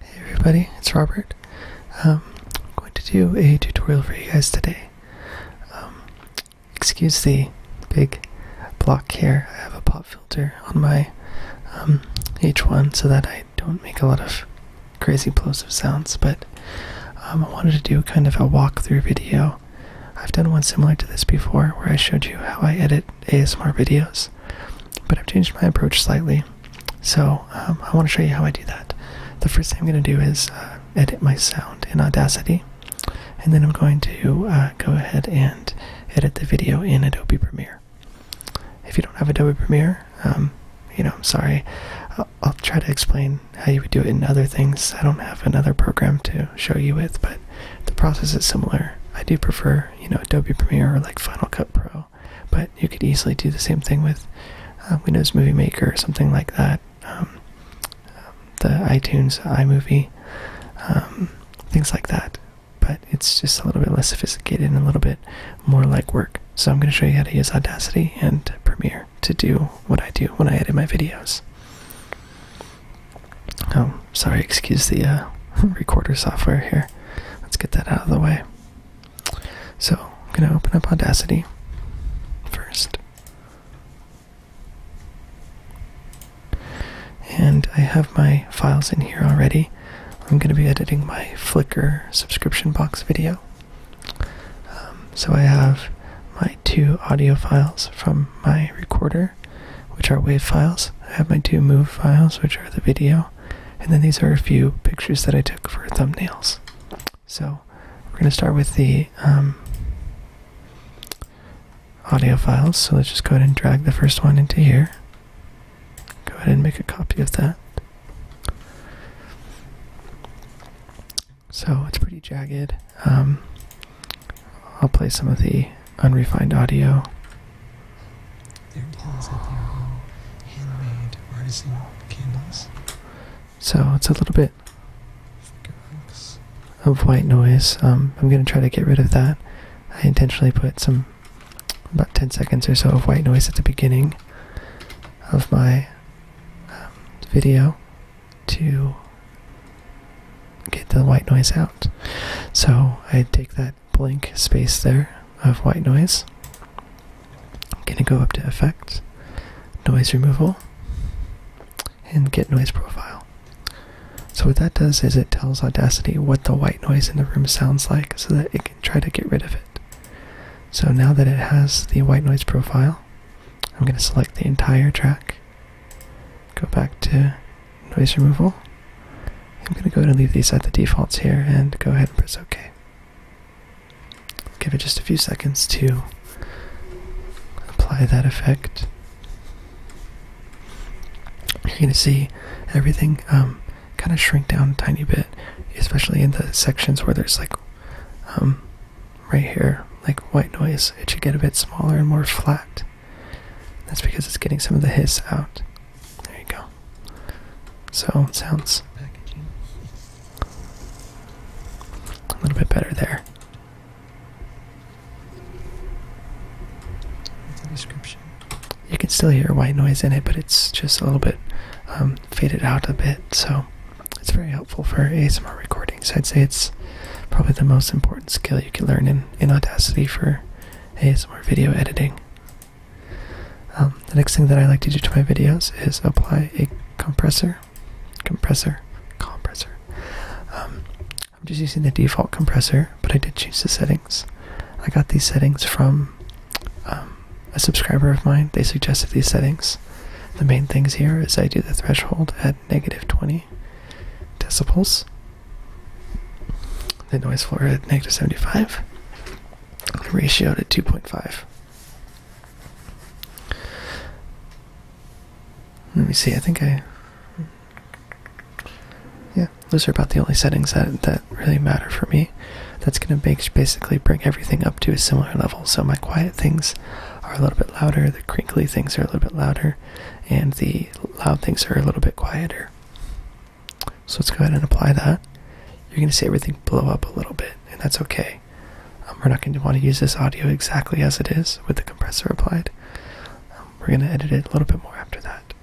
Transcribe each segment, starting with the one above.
Hey everybody, it's Robert. Um, I'm going to do a tutorial for you guys today. Um, excuse the big block here. I have a pop filter on my um, H1 so that I don't make a lot of crazy plosive sounds, but I wanted to do kind of a walkthrough video. I've done one similar to this before where I showed you how I edit ASMR videos, but I've changed my approach slightly. So um, I want to show you how I do that. The first thing I'm going to do is uh, edit my sound in Audacity, and then I'm going to uh, go ahead and edit the video in Adobe Premiere. If you don't have Adobe Premiere, um, you know, I'm sorry. I'll try to explain how you would do it in other things. I don't have another program to show you with, but the process is similar. I do prefer you know, Adobe Premiere or like Final Cut Pro, but you could easily do the same thing with uh, Windows Movie Maker or something like that. Um, the iTunes iMovie, um, things like that. But it's just a little bit less sophisticated and a little bit more like work. So I'm going to show you how to use Audacity and Premiere to do what I do when I edit my videos. Oh, sorry, excuse the uh, recorder software here. Let's get that out of the way. So, I'm going to open up Audacity first. And I have my files in here already. I'm going to be editing my Flickr subscription box video. Um, so I have my two audio files from my recorder which are wave files. I have my two move files, which are the video, and then these are a few pictures that I took for thumbnails. So we're going to start with the um, audio files. So let's just go ahead and drag the first one into here. Go ahead and make a copy of that. So it's pretty jagged. Um, I'll play some of the unrefined audio. So it's a little bit of white noise. Um, I'm going to try to get rid of that. I intentionally put some about 10 seconds or so of white noise at the beginning of my um, video to get the white noise out. So I take that blank space there of white noise. I'm going to go up to Effects, Noise Removal, and Get Noise Profile. So, what that does is it tells Audacity what the white noise in the room sounds like so that it can try to get rid of it. So, now that it has the white noise profile, I'm going to select the entire track go back to noise removal. I'm going to go ahead and leave these at the defaults here and go ahead and press OK. Give it just a few seconds to apply that effect. You're going to see everything um, kind of shrink down a tiny bit, especially in the sections where there's like um, right here, like white noise. It should get a bit smaller and more flat. That's because it's getting some of the hiss out. There you go. So it sounds Packaging. a little bit better there. You can still hear white noise in it, but it's just a little bit um, faded out a bit. So it's very helpful for ASMR recordings. I'd say it's probably the most important skill you can learn in in Audacity for ASMR video editing. Um, the next thing that I like to do to my videos is apply a compressor, compressor, compressor. Um, I'm just using the default compressor, but I did change the settings. I got these settings from um, a subscriber of mine. They suggested these settings. The main things here is I do the threshold at negative 20 decibels. The noise floor at negative 75. The ratio at 2.5. Let me see, I think I... Yeah, those are about the only settings that, that really matter for me. That's going to basically bring everything up to a similar level. So my quiet things are a little bit louder, the crinkly things are a little bit louder, and the loud things are a little bit quieter. So let's go ahead and apply that. You're going to see everything blow up a little bit, and that's okay. Um, we're not going to want to use this audio exactly as it is with the compressor applied. Um, we're going to edit it a little bit more after that.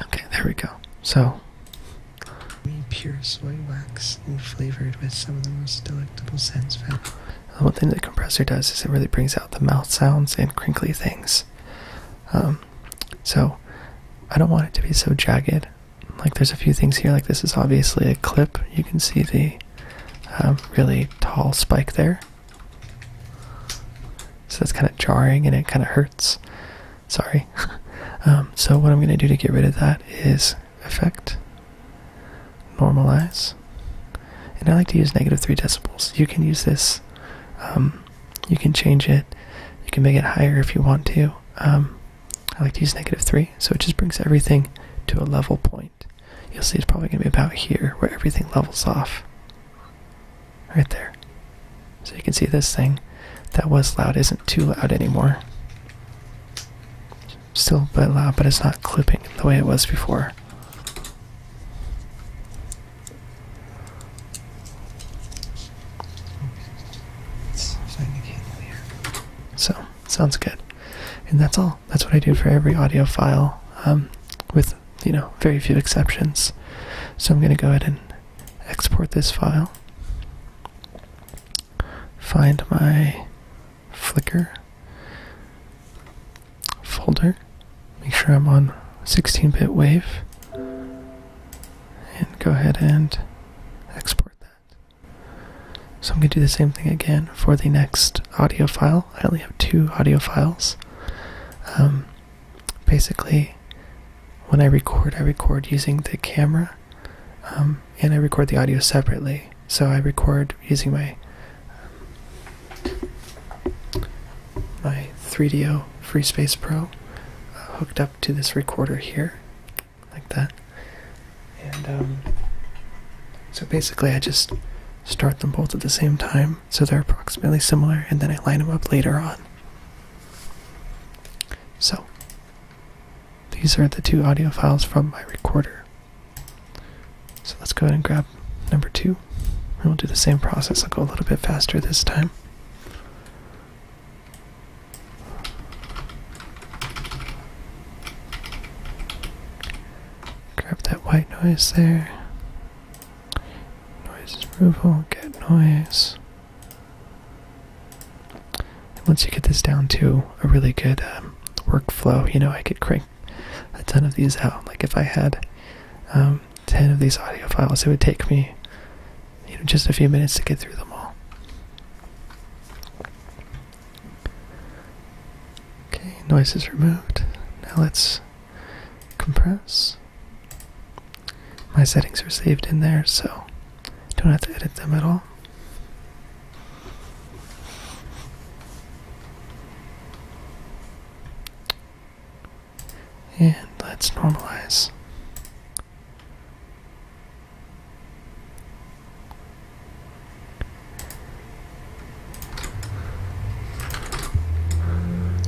Okay, there we go. So, pure soy wax and flavored with some of the most delectable scents the one thing the compressor does is it really brings out the mouth sounds and crinkly things. Um, so I don't want it to be so jagged. Like there's a few things here, like this is obviously a clip. You can see the um, really tall spike there. So that's kind of jarring and it kind of hurts. Sorry. Um, so what I'm going to do to get rid of that is effect normalize. And I like to use negative 3 decibels. You can use this, um, you can change it, you can make it higher if you want to. Um, I like to use negative 3, so it just brings everything to a level point. You'll see it's probably going to be about here where everything levels off. Right there. So you can see this thing that was loud isn't too loud anymore still a bit loud, but it's not clipping the way it was before. So, sounds good. And that's all. That's what I do for every audio file, um, with, you know, very few exceptions. So I'm going to go ahead and export this file, find my Flickr folder. Make sure I'm on 16-bit wave. And go ahead and export that. So I'm going to do the same thing again for the next audio file. I only have two audio files. Um, basically, when I record, I record using the camera um, and I record the audio separately so I record using my my 3DO FreeSpace Pro uh, hooked up to this recorder here, like that. And um, so basically, I just start them both at the same time, so they're approximately similar, and then I line them up later on. So, these are the two audio files from my recorder. So let's go ahead and grab number two. And we'll do the same process. I'll go a little bit faster this time. Grab that white noise there. Noise removal, get noise. once you get this down to a really good um, workflow, you know, I could crank a ton of these out. Like if I had um, ten of these audio files, it would take me you know just a few minutes to get through them all. Okay, noise is removed. Now let's compress. My settings are saved in there, so don't have to edit them at all. And let's normalize.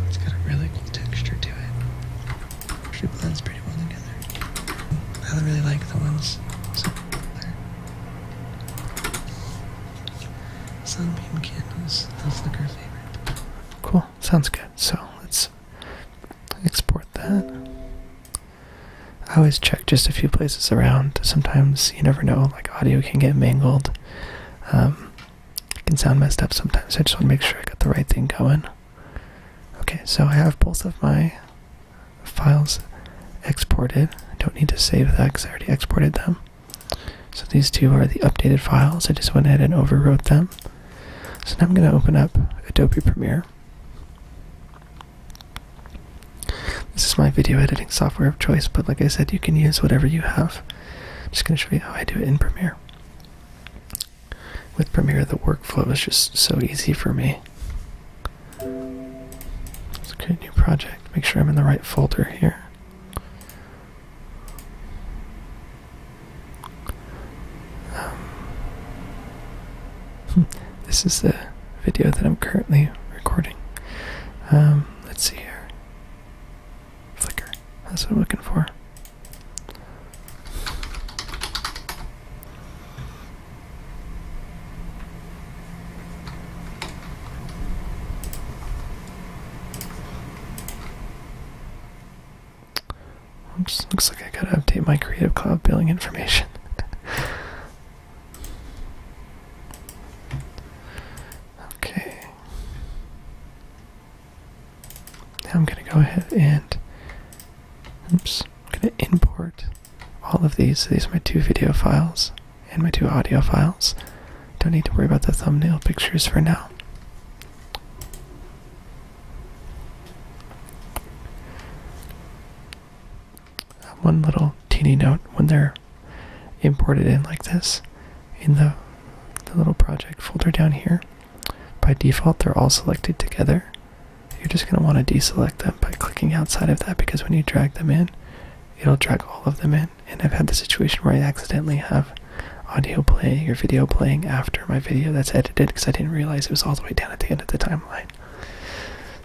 It's got a really cool texture to it. Actually blends pretty well together. I really like the ones. Sunbeam candles. That's like our favorite. Cool. Sounds good. So let's export that. I always check just a few places around. Sometimes you never know, like audio can get mangled. Um, can sound messed up sometimes. I just want to make sure I got the right thing going. Okay, so I have both of my files exported. I don't need to save that because I already exported them. So these two are the updated files. I just went ahead and overwrote them. So now I'm going to open up Adobe Premiere. This is my video editing software of choice, but like I said, you can use whatever you have. just going to show you how I do it in Premiere. With Premiere, the workflow is just so easy for me. Let's create a new project. Make sure I'm in the right folder here. Um, hmm, this is the video that I'm currently recording. Um, let's see here. Flickr. That's what I'm looking for looks like I gotta update my Creative Cloud billing information. okay. Now I'm gonna go ahead and oops, I'm gonna import all of these. So these are my two video files and my two audio files. Don't need to worry about the thumbnail pictures for now. One little teeny note when they're imported in like this in the, the little project folder down here. By default, they're all selected together. You're just going to want to deselect them by clicking outside of that because when you drag them in, It'll drag all of them in. And I've had the situation where I accidentally have audio playing or video playing after my video that's edited because I didn't realize it was all the way down at the end of the timeline.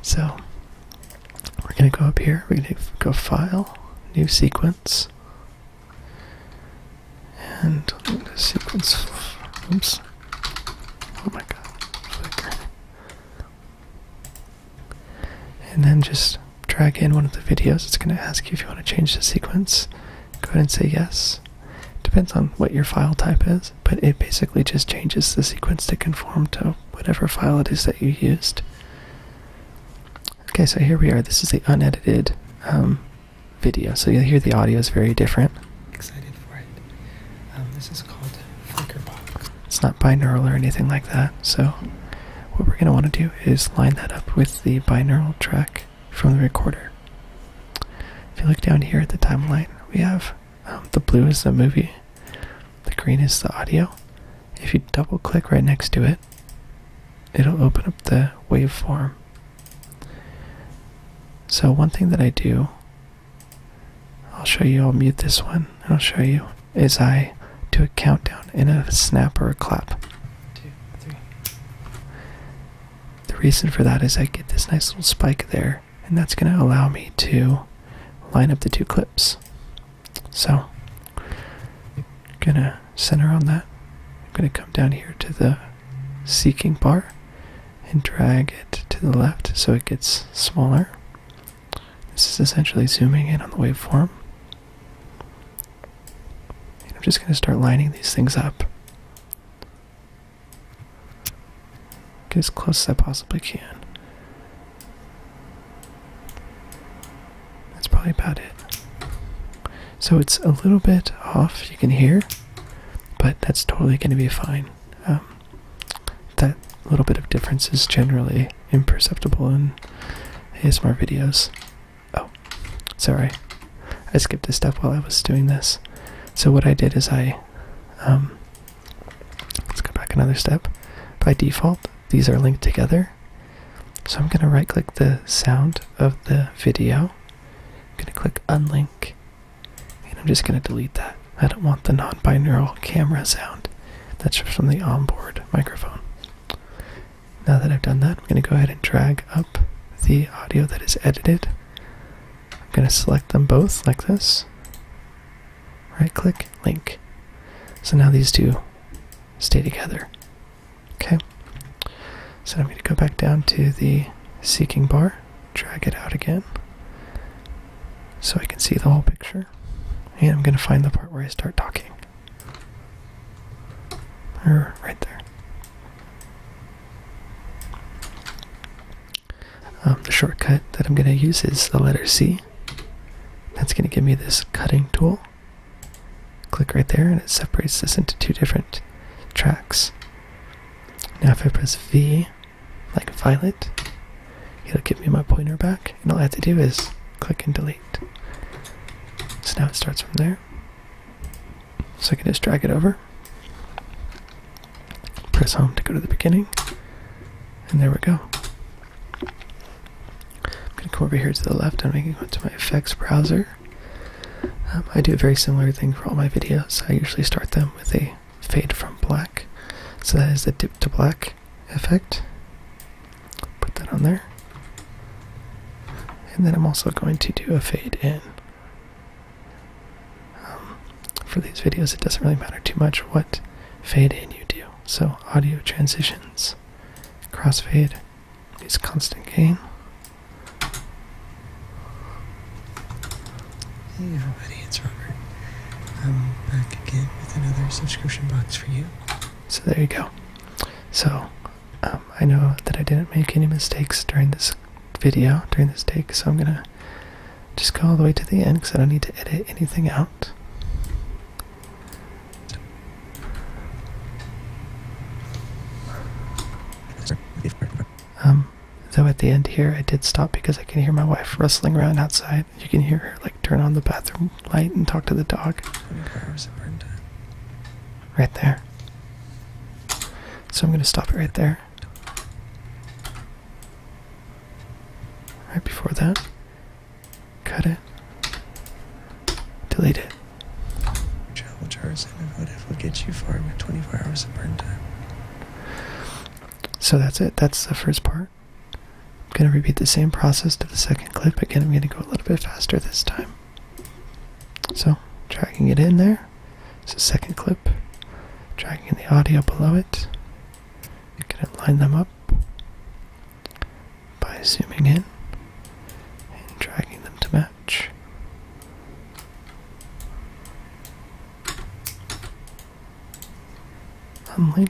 So we're going to go up here. We're going to go File, New Sequence. And sequence. Oops. Oh my god and then just drag in one of the videos. It's going to ask you if you want to change the sequence. Go ahead and say yes. Depends on what your file type is, but it basically just changes the sequence to conform to whatever file it is that you used. Okay, so here we are. This is the unedited um, video, so you'll hear the audio is very different. Excited for it. Um, this is called it's not binaural or anything like that, so what we're going to want to do is line that up with the binaural track from the recorder. If you look down here at the timeline, we have um, the blue is the movie, the green is the audio. If you double click right next to it, it'll open up the waveform. So, one thing that I do I'll show you, I'll mute this one, I'll show you as I do a countdown in a snap or a clap. Two, three. The reason for that is I get this nice little spike there, and that's going to allow me to line up the two clips. So, I'm gonna center on that. I'm gonna come down here to the seeking bar and drag it to the left so it gets smaller. This is essentially zooming in on the waveform. I'm just going to start lining these things up. Get as close as I possibly can. That's probably about it. So it's a little bit off, you can hear, but that's totally going to be fine. Um, that little bit of difference is generally imperceptible in ASMR videos. Oh, sorry. I skipped a step while I was doing this. So what I did is I um, let's go back another step. By default, these are linked together. So I'm gonna right click the sound of the video. I'm gonna click unlink and I'm just gonna delete that. I don't want the non-binaural camera sound. That's from the onboard microphone. Now that I've done that, I'm going to go ahead and drag up the audio that is edited. I'm going to select them both like this. Right click, link. So now these two stay together. Okay. So I'm going to go back down to the seeking bar, drag it out again so I can see the whole picture. And I'm going to find the part where I start talking. Or right there. Um, the shortcut that I'm going to use is the letter C. That's going to give me this cutting tool. Click right there and it separates this into two different tracks. Now if I press V, like violet, it'll give me my pointer back, and all I have to do is click and delete. So now it starts from there. So I can just drag it over, press home to go to the beginning, and there we go. I'm going to come over here to the left, I'm going to go to my effects browser. Um, I do a very similar thing for all my videos. I usually start them with a fade from black. So that is the dip to black effect. Put that on there. And then I'm also going to do a fade in. Um, for these videos, it doesn't really matter too much what fade in you do. So, audio transitions, crossfade, use constant gain. Hey everybody, it's Robert. I'm back again with another subscription box for you. So there you go. So um, I know that I didn't make any mistakes during this video, during this take, so I'm gonna just go all the way to the end because I don't need to edit anything out. Um, though at the end here I did stop because I can hear my wife rustling around outside. You can hear her like turn on the bathroom light and talk to the dog. Right there. So I'm gonna stop it right there. Right before that, cut it, delete it. Travel jars and motive will get you far 24 hours of burn time. So that's it. That's the first part. I'm going to repeat the same process to the second clip. Again, I'm going to go a little bit faster this time. So, dragging it in there. It's the second clip. Dragging the audio below it. I'm going to line them up by zooming in and dragging them to match. Unlink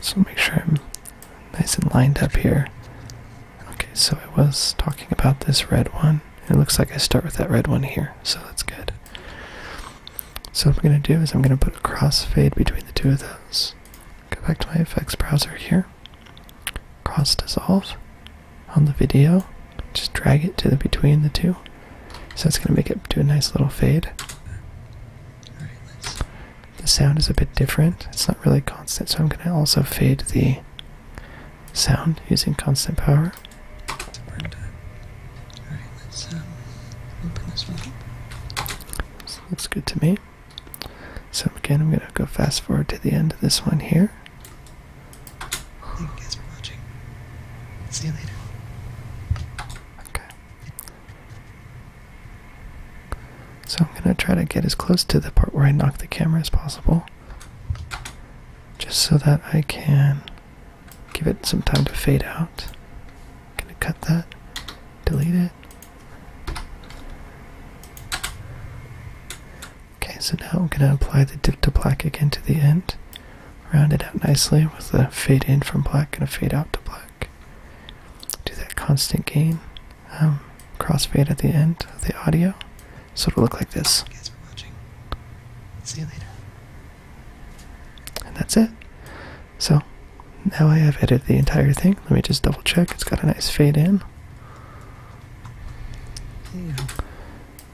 So make sure I'm nice and lined up here. Okay, so I was talking about this red one. It looks like I start with that red one here, so that's good. So what I'm going to do is I'm going to put a crossfade between the two of those. Go back to my effects browser here. Cross dissolve on the video. Just drag it to the between the two. So that's going to make it do a nice little fade. The sound is a bit different. It's not really constant, so I'm going to also fade the sound using constant power. right, let's open this one This looks good to me. So again, I'm going to go fast forward to the end of this one here. See you later. Okay. So I'm gonna try to get as close to the part where I knock the camera as possible. Just so that I can give it some time to fade out. I'm gonna cut that, delete it. Okay, so now I'm gonna apply the dip to black again to the end. Round it out nicely with a fade in from black and a fade out to black. Do that constant gain um, crossfade at the end of the audio, so it'll look like this. Thank for watching. See you later. And that's it. So now I have edited the entire thing. Let me just double check. It's got a nice fade in.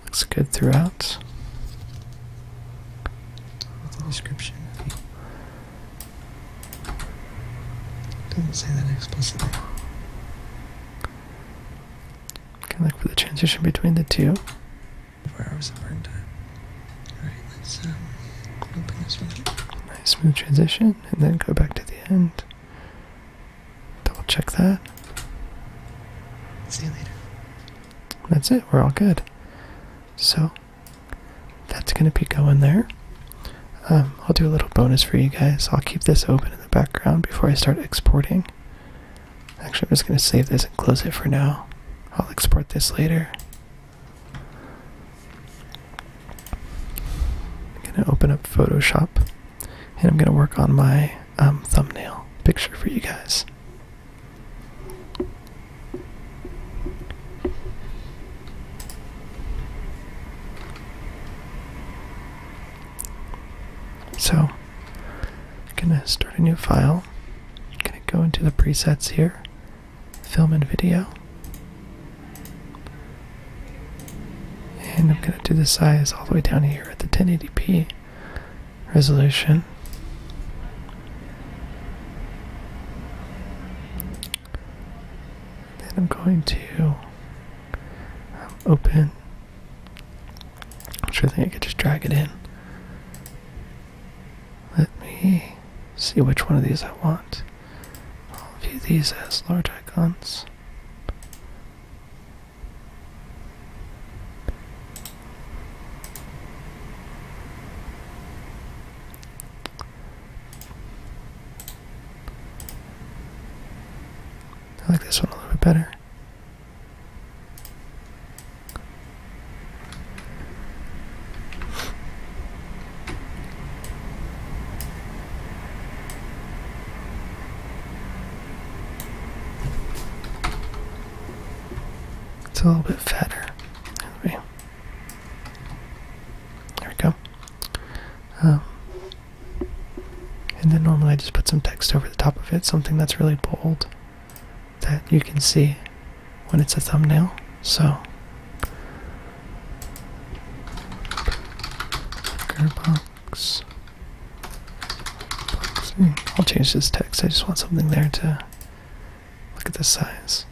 Looks good throughout. With description. Doesn't say that explicitly. Can look for the transition between the two. Four hours of burn Alright, let's um open this one. Nice smooth transition and then go back to the end. Double check that. See you later. That's it, we're all good. So that's gonna be going there. Um, I'll do a little bonus for you guys. I'll keep this open in the background before I start exporting. Actually, I'm just going to save this and close it for now. I'll export this later. I'm going to open up Photoshop and I'm going to work on my um, thumbnail picture for you guys. So, I'm going to start a new file. I'm going to go into the presets here, film and video. And I'm going to do the size all the way down here at the 1080p resolution. Then I'm going to um, open. I'm sure I think I could just drag it in. Let me see which one of these I want. I'll view these as large icons. I like this one a little bit better. It's a little bit fatter. Anyway. There we go. Um, and then normally I just put some text over the top of it, something that's really bold that you can see when it's a thumbnail. So, Box I'll change this text. I just want something there to look at the size.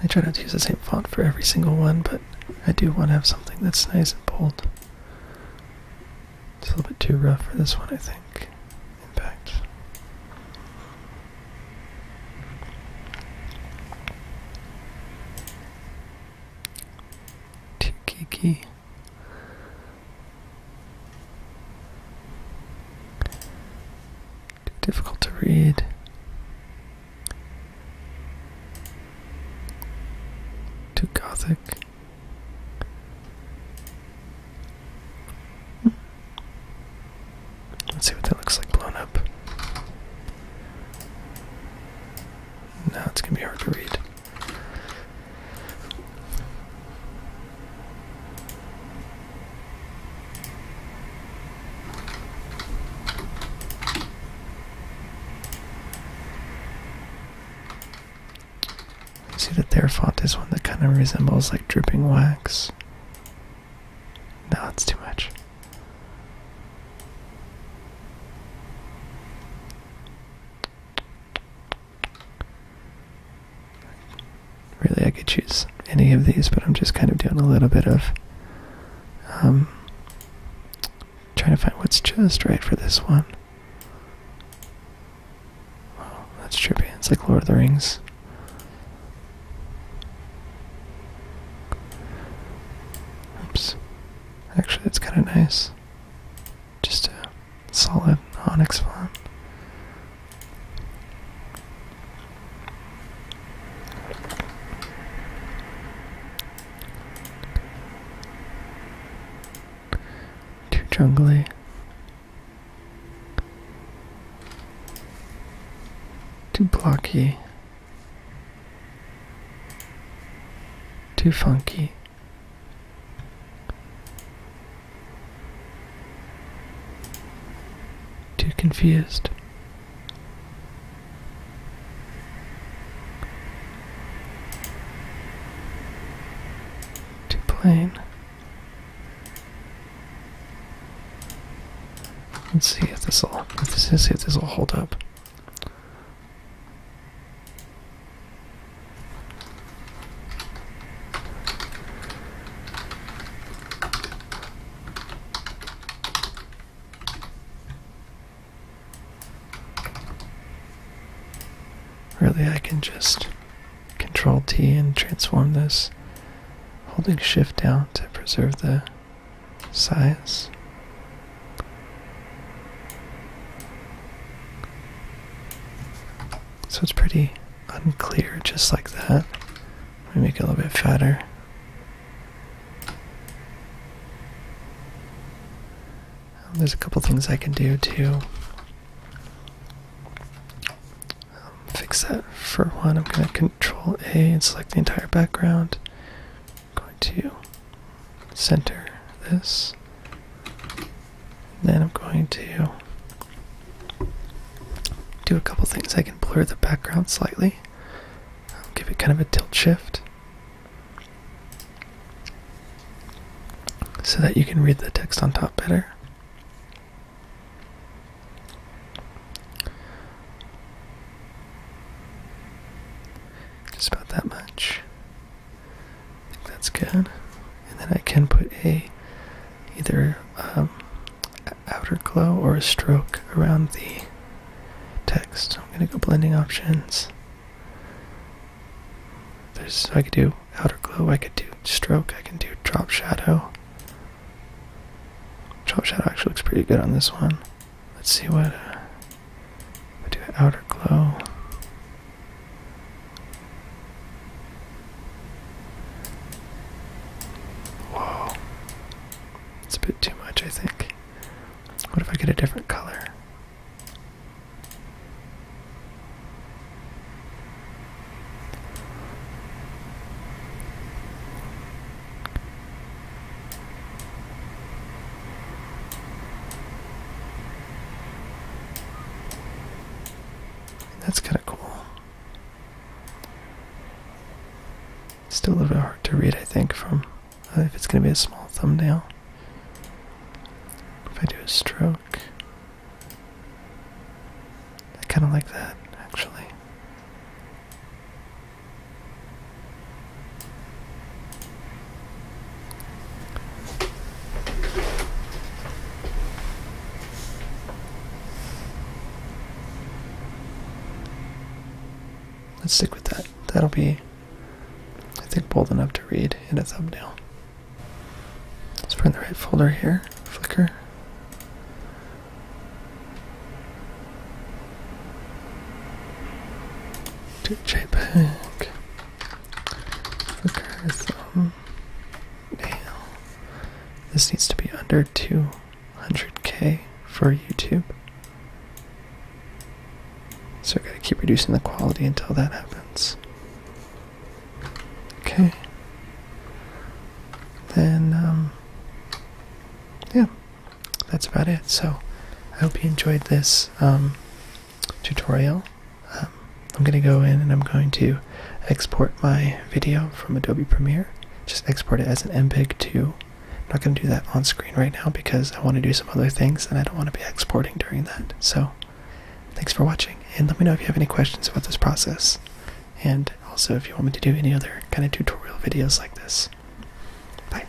I try not to use the same font for every single one, but I do want to have something that's nice and bold. It's a little bit too rough for this one, I think. Impact. Too geeky. Too difficult to read. Too gothic. Let's see what that looks like blown up. Now it's gonna be hard to read. See that their font is one that kind of resembles like dripping wax. No, that's too much. Really, I could choose any of these, but I'm just kind of doing a little bit of um, trying to find what's just right for this one. Wow, that's trippy. It's like Lord of the Rings. Oops. Actually, that's kind of nice. Just a solid onyx farm. Too jungly. Too blocky. Too funky. Too confused. Too plain. Let's see if this will. If this is if this will hold up. Really, I can just control T and transform this, holding shift down to preserve the size. So it's pretty unclear just like that. Let me make it a little bit fatter. Um, there's a couple things I can do to um, fix that. For one, I'm going to Control A and select the entire background. I'm going to center this. Then I'm going to do a couple things. I can blur the background slightly. give it kind of a tilt shift so that you can read the text on top better. Just about that much that's good. And then I can put a either um, outer glow or a stroke around the text. I'm gonna go blending options. There's I could do outer glow, I could do stroke, I can do drop shadow. Drop shadow actually looks pretty good on this one. Let's see what uh, I do an outer glow. Whoa. It's a bit too much, I think. What if I get a different color? That's kind of cool. Still a little bit hard to read, I think, from uh, if it's going to be a small thumbnail. If I do a stroke, I kind of like that, actually. Let's stick with that. That'll be, I think, bold enough to read in a thumbnail. Let's find the right folder here, Flickr. JPEG. Because, um, this needs to be under 200k for YouTube. So I gotta keep reducing the quality until that happens. Okay. Then, um, yeah, that's about it. So I hope you enjoyed this. Um, tutorial. Um, I'm going to go in and I'm going to export my video from Adobe Premiere. Just export it as an MPEG 2. I'm not going to do that on screen right now because I want to do some other things and I don't want to be exporting during that. So thanks for watching and let me know if you have any questions about this process. And also if you want me to do any other kind of tutorial videos like this. Bye.